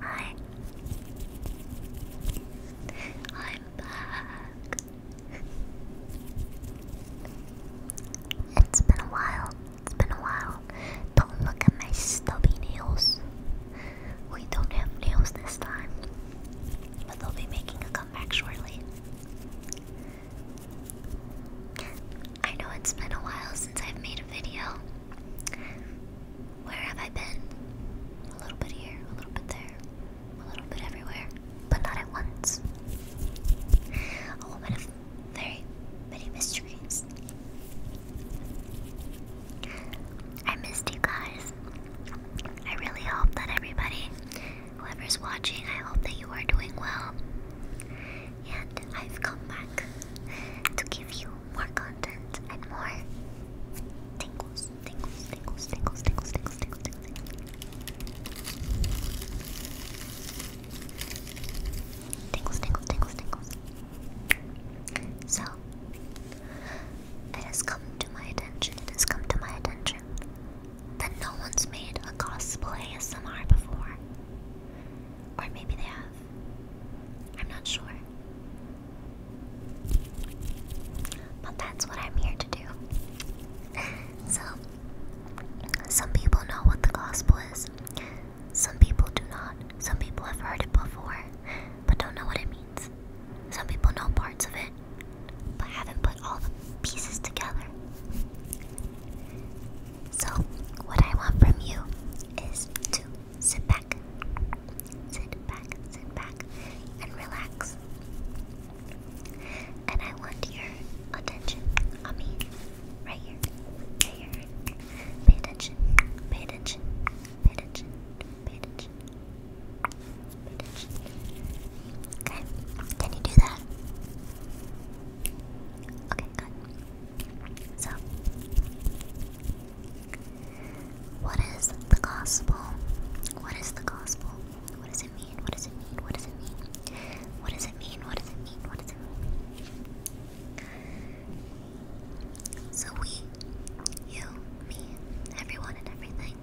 Hi. I'm back. It's been a while. It's been a while. Don't look at my stubby nails. We don't have nails this time. But they'll be making a comeback shortly. I know it's been a while since I've made a video. Where have I been? A little bit here, a little bit there, a little bit everywhere, but not at once. A woman of very many mysteries. I missed you guys. I really hope that everybody, whoever's watching, I hope that you are doing well and I've come back to give you more content and more tingles, tingles, tingles, tingles, tingles, tingles, tingles, tingles. Tingles, tingles, tingles, tingles. So, it has come to my attention, it has come to my attention that no one's made a cosplay ASMR before. Or maybe they have. I'm not sure. But that's what I'm here to do. so, some people know what the gospel is, some people do not. Some people have heard it before, but don't know what it means. Some people know parts of it, but haven't put all the pieces together. So, what I want from you is to sit back, sit back, sit back, and relax. And I want your attention on me, right here, right here. Pay attention, pay attention, pay attention, pay attention, pay attention. Okay, can you do that? Okay, good. So, what is the gospel? What is the gospel? What does it mean? What does it mean? What does it mean? What does it mean? What does it mean? What does it mean? So, we, you, me, everyone, and everything,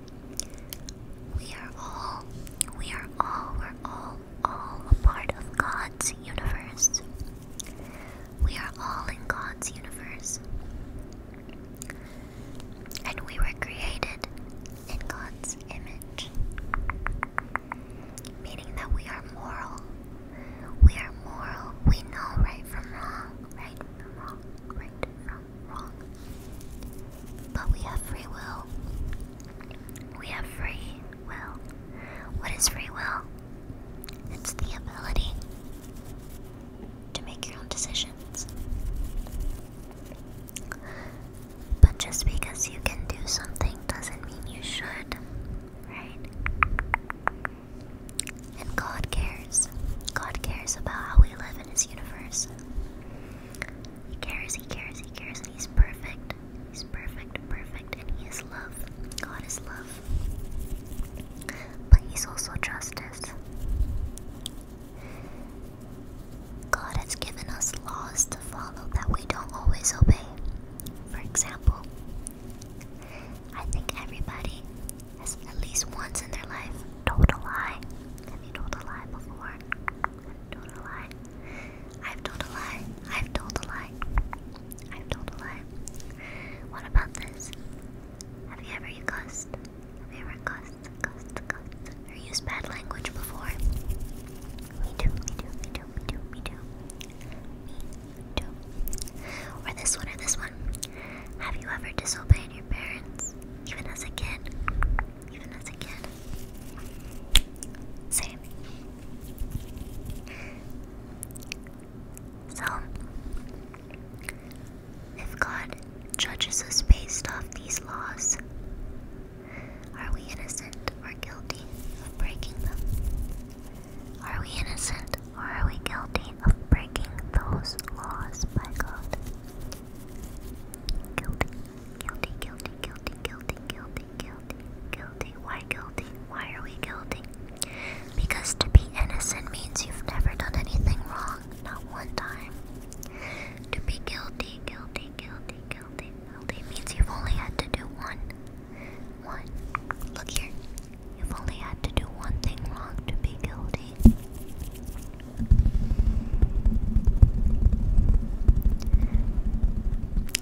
we are all, we are all, we're all all, a part of God's universe. We are all in God's universe. And we were created in God's image. Meaning that we are moral. We are moral. We know right from wrong, right from wrong, right from wrong. But we have free will. We have free will. What is free will? It's the ability to make your own decisions. But just because you can do something doesn't mean you should, right? And God cares. God cares about how we live in His universe. He cares, He cares, He cares he's perfect. He's perfect, perfect, and he is love. God is love. But he's also justice. God has given us laws to follow that we don't always obey. For example, I think everybody has at least once in their life told a lie. Have you told a lie before? told a lie? I've told a lie. I've told a lie. I've told a lie. What about this? Have you ever you Have you ever cussed, cussed, cussed, or used bad language before? Me too, me too, me too, me too, me too. Me too. Or this one, or this one. Have you ever disobeyed your parents, even as a kid? Even as a kid? Same. So, if God judges us based off these laws, are we innocent or guilty of breaking them? Are we innocent or are we guilty of breaking those laws by God? Guilty, guilty, guilty, guilty, guilty, guilty guilty, guilty, Why guilty? Why are we guilty? Because to be innocent means you've never done anything wrong, not one time. To be guilty, guilty, guilty, guilty, guilty means you've only had to do one. One. Look here. You've only had to do one thing wrong to be guilty.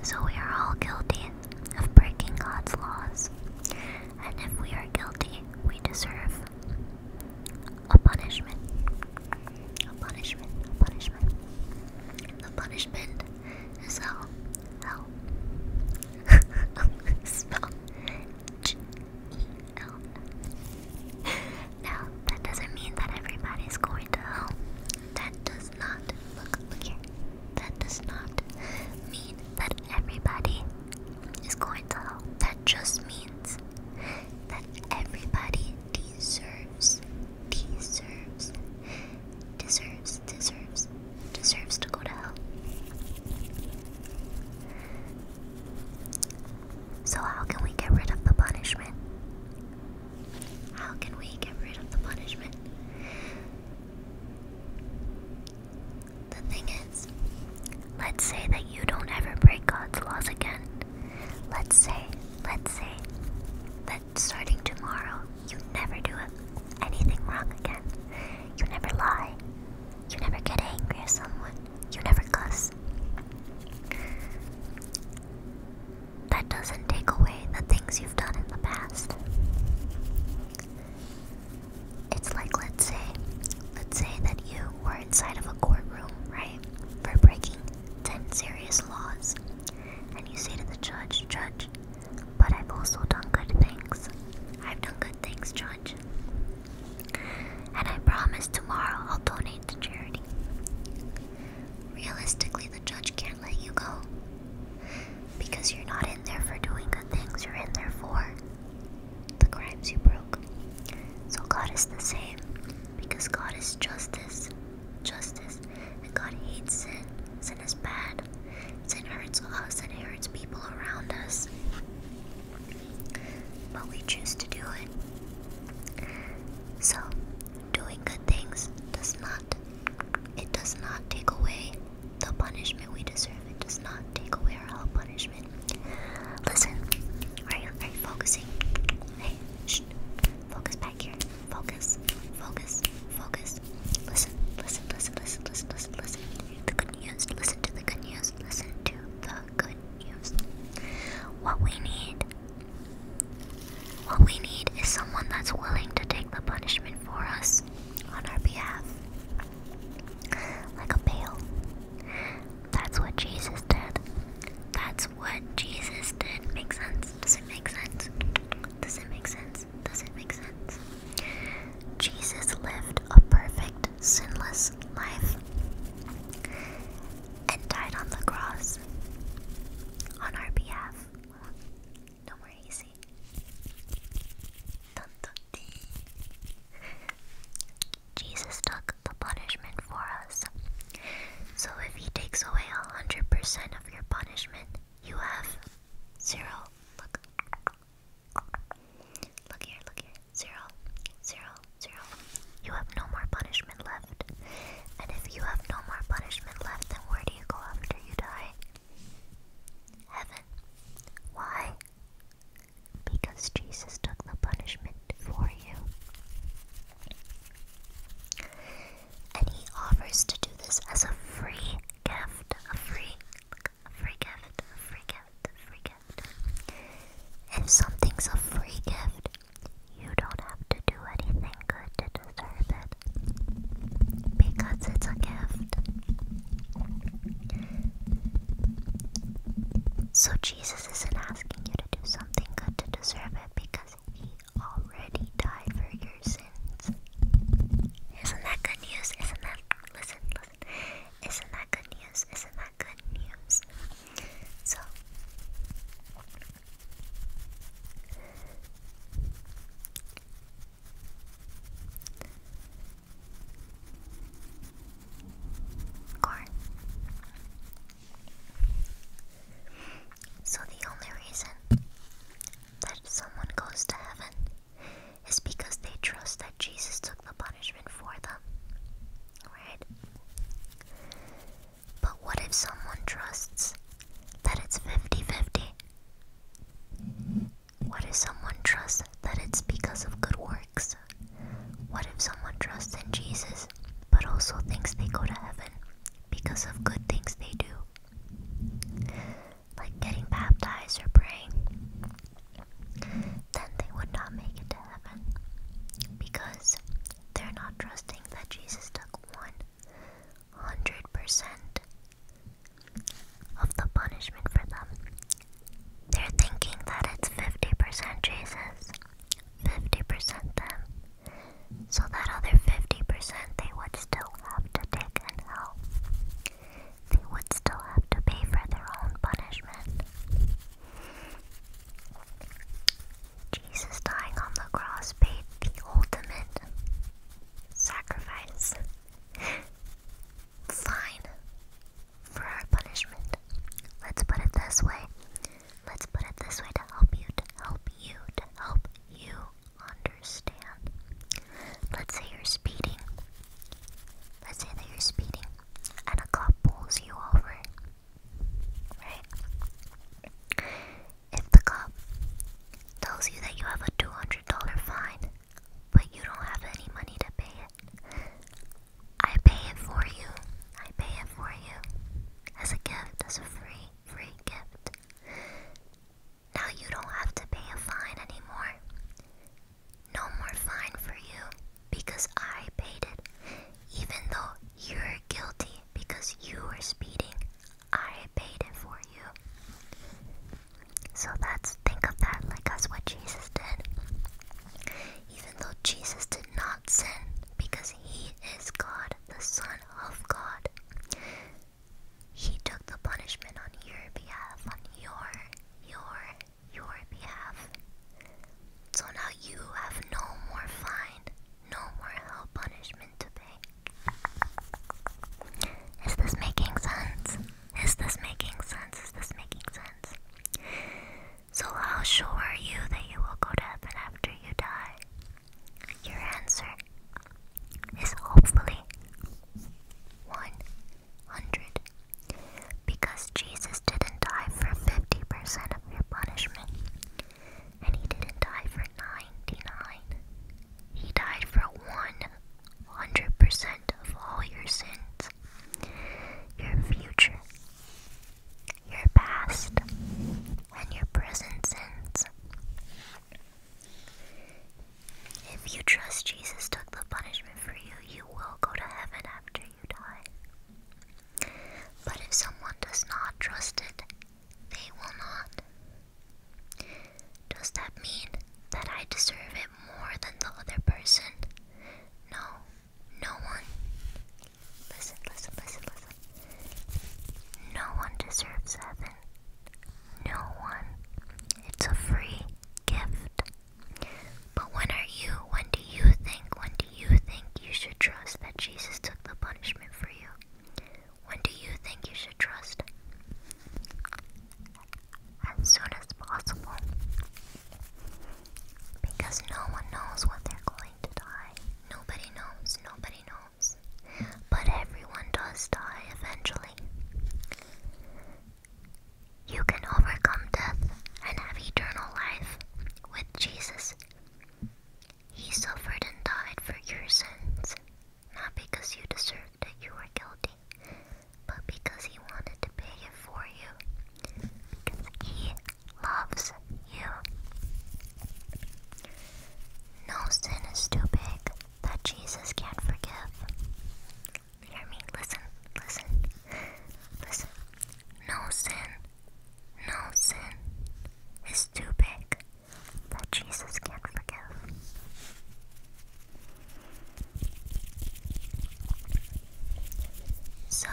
So we are all guilty of breaking God's laws, and if we are guilty, we deserve a punishment. A punishment, a punishment. The punishment is hell. Hell. Spell G E L. Now, that doesn't mean that everybody's going to hell. That does not. Look, look here. That does not mean that everybody is going to help. That just means that everybody deserves, deserves, deserves, deserves, deserves to go to hell. So, how can we get rid of the punishment? How can we get rid of the punishment? The thing is, let's say that you don't ever break God's laws again. Let's say, let's say that starting tomorrow, you never do anything wrong again. You never lie. You never get angry at someone. You never cuss. That doesn't take away the things you've done in the past. It's like let's say let's say that you were inside of a courtroom, right? For breaking 10 serious laws. And you say to the judge, "Judge, but I've also done good things. I've done good things, judge. And I promise tomorrow I'll donate to charity." Realistically, the judge can't let you go. Because you're not in there for doing good things, you're in there for the crimes you broke. So God is the same. Because God is justice. Justice. And God hates sin. Sin is bad. Sin hurts us and it hurts people around us. But we choose to do it. So doing good things does not it does not take away the punishment we deserve it does not take away our own punishment. Listen, are you, are you focusing? Hey, shh. Focus back here. Focus, focus, focus. Listen, listen, listen, listen, listen, listen, The good news. Listen to the good news. Listen to the good news. What we need. What we need is someone that's willing to take the punishment for us on our behalf. Like a pail. That's what Jesus did. That's what Jesus did. Make sense? Does it make sense? Does it make sense? Does it make sense? Jesus lived a perfect, sinless life and died on the cross on our behalf. No more easy. Jesus took the punishment for us. So if he takes away 100% of your punishment, you have zero. Look here, look here. Zero, zero, zero. You have no more punishment left. And if you have no more punishment left, then where do you go after you die? Heaven. Why? Because Jesus took the punishment for you. And he offers to do this as a free gift. A free, a free gift, a free gift, a free gift. If something's a free gift, you don't have to do anything good to deserve it because it's a gift. So Jesus isn't asking you to do something good to deserve it because he already died for your sins. Isn't that good news? Isn't that listen, listen. Isn't that good news? Isn't that good news? So so the only reason that someone goes to heaven is because they trust that Jesus took the punishment for them. Right? But what if someone trusts that it's 50 50? What if someone trusts that it's because of good works? What if someone trusts in Jesus but also thinks they go to heaven because of good things they do? Like getting baptized or praying? Then they would not make it to heaven because they're not trusting that Jesus took one 100% of the punishment for them. They're thinking that it's 50% Jesus, 50% them, so that other 50% they would still have to take in hell. They would still have to pay for their own punishment. Jesus dying on the cross paid the ultimate sacrifice Fine. For our punishment. Let's put it this way. Let's put it this way to help you, to help you, to help you understand. Let's say you're speeding. Let's say that you're speeding and a cop pulls you over. Right? If the cop tells you that you have a $200 fine, but you don't have any money to pay it. I pay it for you. I pay it for you. As a gift, as a free, free gift. Now you don't have to pay a fine anymore. No more fine for you because I paid it. Even though you're guilty because you were speeding, I paid it for you. So that's think of that like as what Jesus did. Even though Jesus did not sin because he is God, the Son of God. He took the punishment on your behalf, on your, your, your behalf. So now you have no more fine, no more hell punishment to pay. Is this making sense? Is this making sense? Is this making sense? So, how sure are you that you will go to heaven after you die? Your answer is hopefully 100. Because Jesus didn't die for 50% of your punishment, and he didn't die for 99. He died for 100% of all your sins, your future, your past, and your present sins. If you trust Jesus took the punishment for you, you will go to heaven after you die. But if someone does not trust it, they will not. Does that mean that I deserve it more than the other person? No, no one. Listen, listen, listen, listen. No one deserves heaven. No one. It's a free gift. But when are you, when do you think, when do you think you should trust that Jesus took the punishment for you? When do you think you should trust? as soon as possible because no one knows when they're going to die. Nobody knows, nobody knows. But everyone does die eventually. You can overcome death and have eternal life with Jesus. He suffered and died for your sins, not because you deserve it, you were guilty, but because he wanted to pay it for you. Because he loves you. No sin is too big that Jesus can't forgive. Hear me? Listen, listen, listen. No sin, no sin is too big that Jesus can't forgive. So,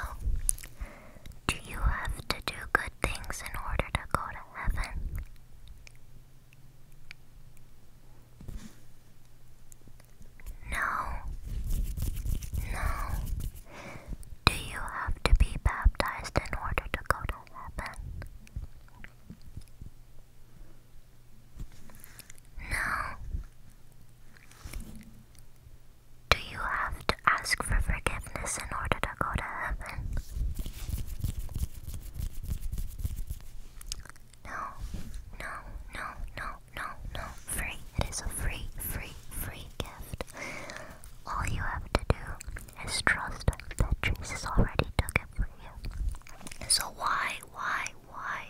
do you have to do good things in order to go to heaven? No. No. Do you have to be baptized in order to go to heaven? Now, do you have to ask for forgiveness in order to go to heaven? No, no, no, no, no, no. Free. It is a free, free, free gift. All you have to do is trust that Jesus already took it for you. So why, why, why?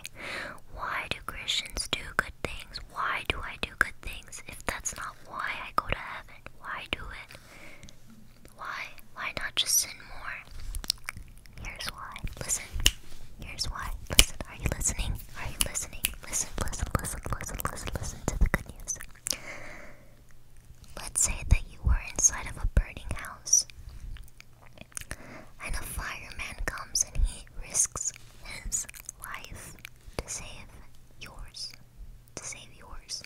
Why do Christians do good things? Why do I do good things? If that's not why I go to heaven, why do it? Why? Why not just sin more? Here's why. Listen. Here's why. Listen. Are you listening? Are you listening? Listen, listen, listen, listen, listen, listen to the good news. Let's say that you were inside of a burning house. And a fireman comes and he risks his life to save yours. To save yours.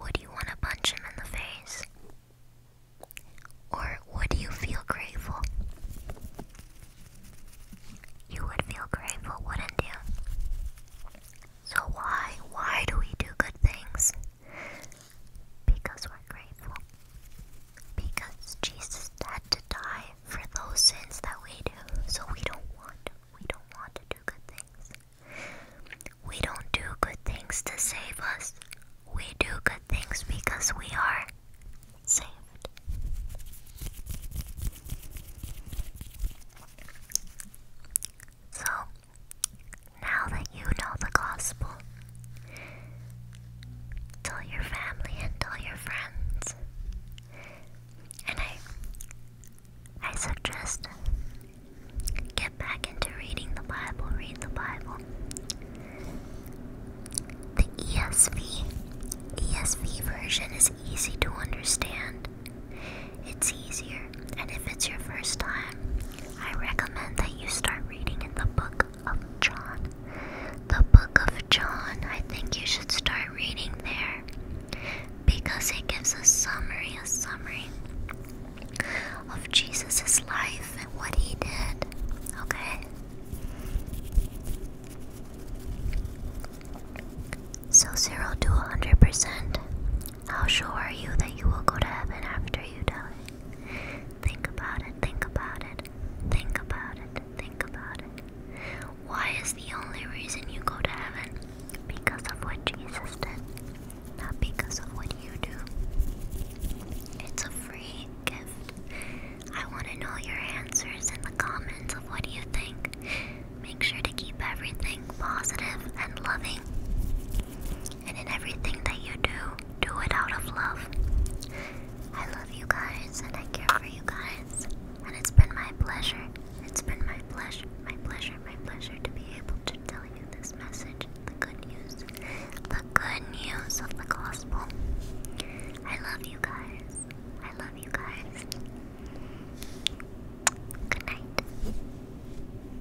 Would you want to punch him in the face? Or would you feel grateful? You would feel grateful, wouldn't you? So why, why do we do good things? Because we're grateful. Because Jesus had to die for those sins that we do. So we don't want We don't want to do good things. We don't do good things to save us. We do good things because we are saved. So, now that you know the gospel, tell your family and tell your friends. And I I suggest get back into reading the Bible, read the Bible. The ESV ESV version is easy to understand. It's easier, and if it's your first time, I recommend that you start reading in the book of John. The book of John, I think you should start reading there because it gives a summary, a summary of Jesus' life and what he did. Okay? So 0 to 100%, how sure are you that you will go to heaven after you die? Think about it, think about it, think about it, think about it. Why is the only reason you go to heaven? Because of what Jesus did, not because of what you do. It's a free gift. I want to know your answers in the comments of what you think. Make sure to keep everything and loving. And in everything that you do, do it out of love. I love you guys and I care for you guys. And it's been my pleasure. It's been my pleasure, my pleasure, my pleasure to be able to tell you this message the good news, the good news of the gospel. I love you guys. I love you guys. Good night.